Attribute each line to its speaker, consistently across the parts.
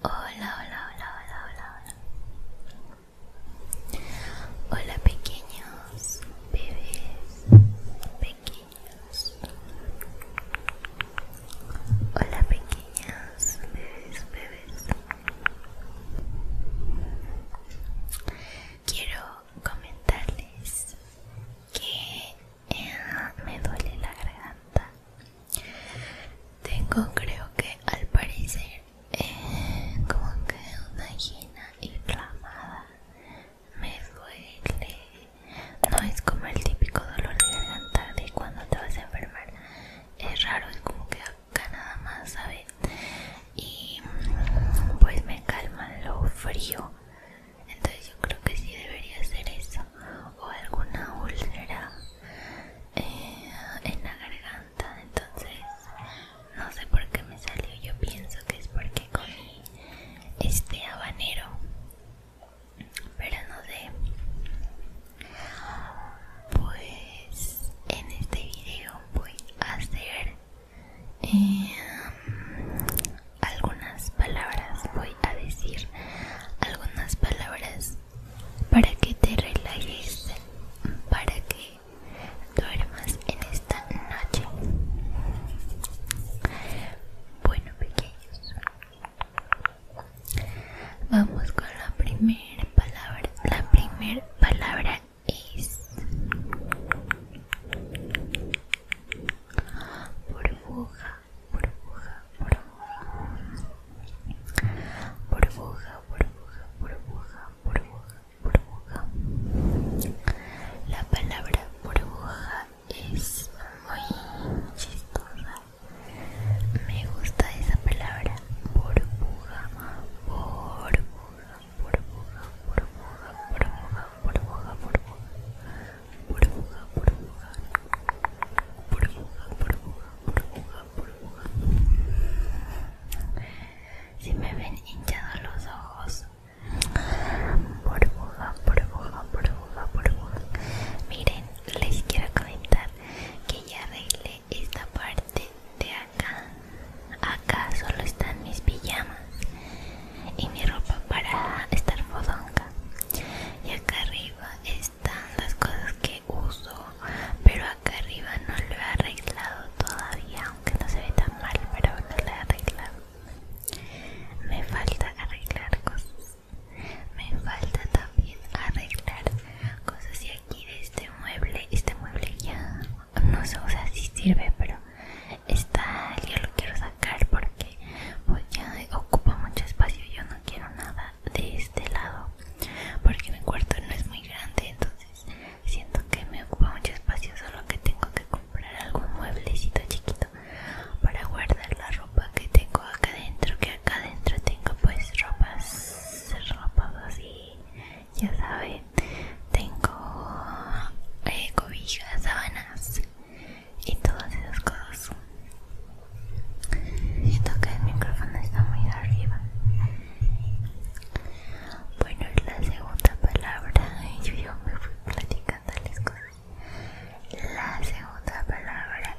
Speaker 1: Hola, hola, hola, hola, hola, hola. Hola pequeños bebés, pequeños. Hola pequeños bebés, bebés. Quiero comentarles que eh, me duele la garganta. Tengo, creo que al parecer, eh, como que una gina inflamada. Me duele. No es como el típico dolor de garganta de cuando te vas a enfermar. Es raro, es como que nada más, ¿sabes? Y pues me calma lo frío. Entonces yo creo que sí debería hacer eso. O alguna úlcera eh, en la garganta. Entonces no sé por qué me salió. Yo pienso que es porque comí este habanero. Pero no sé. Pues en este video voy a hacer em, algunas palabras, voy a decir algunas palabras para que te relajes, para que duermas en esta noche. Bueno, pequeños. Vamos con la primera palabra. La primera palabra es burbuja, burbuja, burbuja. Burbuja, burbuja, burbuja, burbuja, burbuja. La palabra burbuja es muy chistosa me gusta esa palabra, burbuja, burbuja, burbuja, burbuja, burbuja, burbuja, burbuja, burbuja, burbuja, burbuja, burbuja, burbuja, burbuja. Si me ven hinchados los ojos, burbuja, burbuja, burbuja, burbuja. Miren, les quiero comentar que ya arreglé esta parte de acá acá solo están mis pijamas y mi ropa para estar fodonga y acá arriba están las cosas que uso pero acá arriba no lo he arreglado todavía aunque no se ve tan mal pero no lo he arreglado me falta arreglar cosas me falta también arreglar cosas de este mueble, este mueble ya no se usa, si sirve, pero está, yo lo quiero sacar porque pues ya ocupa mucho espacio, yo no quiero nada de este lado porque mi cuarto no es muy grande, entonces siento que me ocupa mucho espacio, solo que tengo que comprar algún mueblecito chiquito para guardar la ropa que tengo acá adentro, que acá adentro tengo pues ropas ropa así, ya saben, tengo eh, cobijas, sábanas y todas esas cosas. Siento que el micrófono está muy arriba. Bueno, la segunda palabra, yo, yo me fui platicando las cosas. La segunda palabra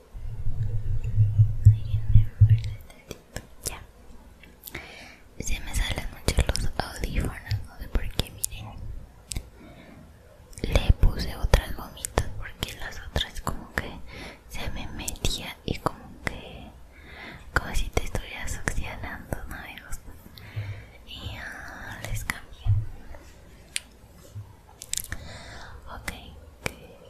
Speaker 1: se me salen mucho los audífonos, no sé por qué, miren. Le puse otras gomitas porque las otras como que se me metía y como que como si te estuvieras oxidando, no me gusta. Y ya les cambié. Ok,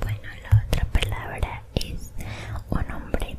Speaker 1: bueno la otra palabra es un hombre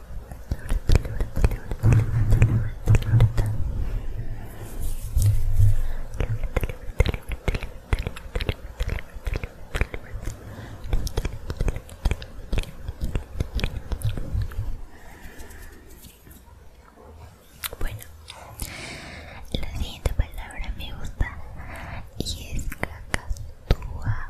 Speaker 1: Bueno, la siguiente palabra me gusta y es CACATUA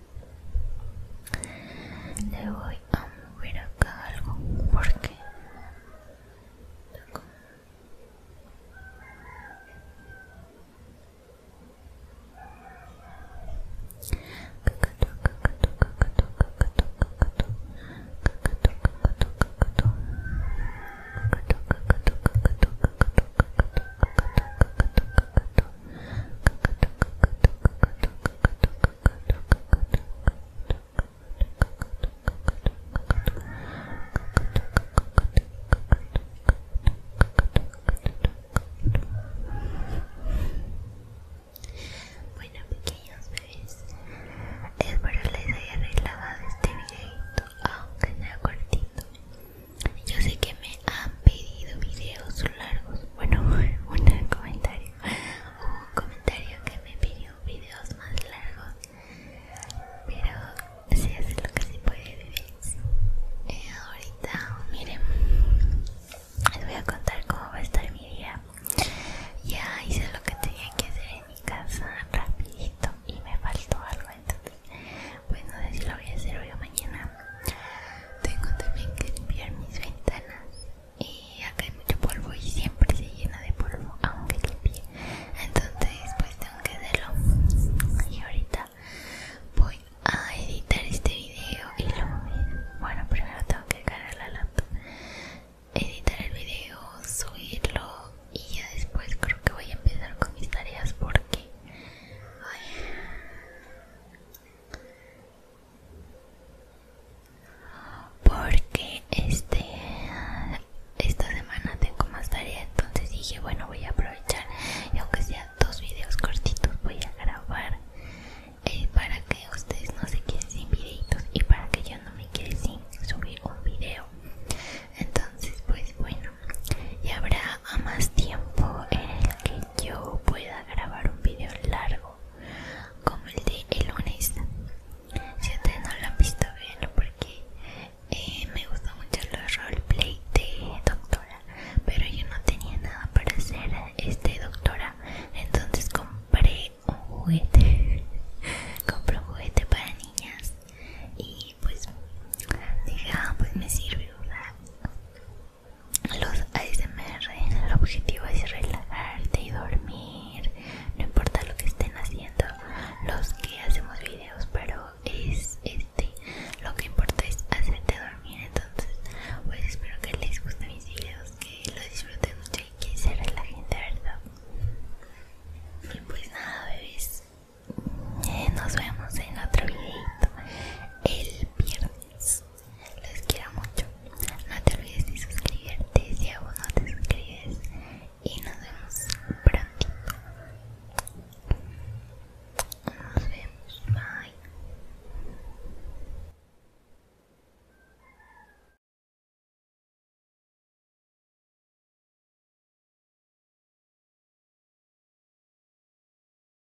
Speaker 1: Le voy a mover acá algo porque bueno pequeños bebés, espero les haya relajado este videito, aunque sea cortito. Yo sé que me han pedido videos largos bueno un comentario un comentario que me pidió videos más largos pero si es lo que se puede vivir eh, ahorita miren les voy a contar cómo va a estar mi día ya hice lo que tenía que hacer en mi casa rapidito y me faltó algo entonces bueno no lo voy a hacer hoy o mañana tengo también que limpiar mis ventanas y acá hay mucho polvo y siempre se llena de polvo aunque limpie. Entonces pues tengo que hacerlo. Y ahorita voy a editar este video y luego bueno primero tengo que cargar la lata editar el video, subirlo y ya después creo que voy a empezar con mis tareas porque ay, porque este esta semana tengo más tareas entonces dije bueno voy a aprovechar y aunque sea dos videos cortitos voy a grabar eh, para que ustedes no se queden sin videitos y para que yo no me quede sin subir un video entonces pues bueno y habrá más tiempo en el que yo pueda grabar un video largo como el de el lunes si ustedes no lo han visto bien porque eh, me gusta mucho los roleplay de doctora pero yo no tenía nada para hacer este doctora entonces compré un juguete compré un juguete para niñas y pues dije ah, pues me sirve los ASMR, el objetivo es relajarte y dormir, no importa lo que estén haciendo, los que hacemos videos, pero es este, lo que importa es hacerte dormir, entonces pues espero que les guste mis videos, que los disfruten mucho y que se relajen de verdad. Y pues nada bebés, eh, nos vemos en otro videito el viernes. Les quiero mucho. No te olvides de suscribirte si aún no te suscribes. Y nos vemos pronto Nos vemos. Bye.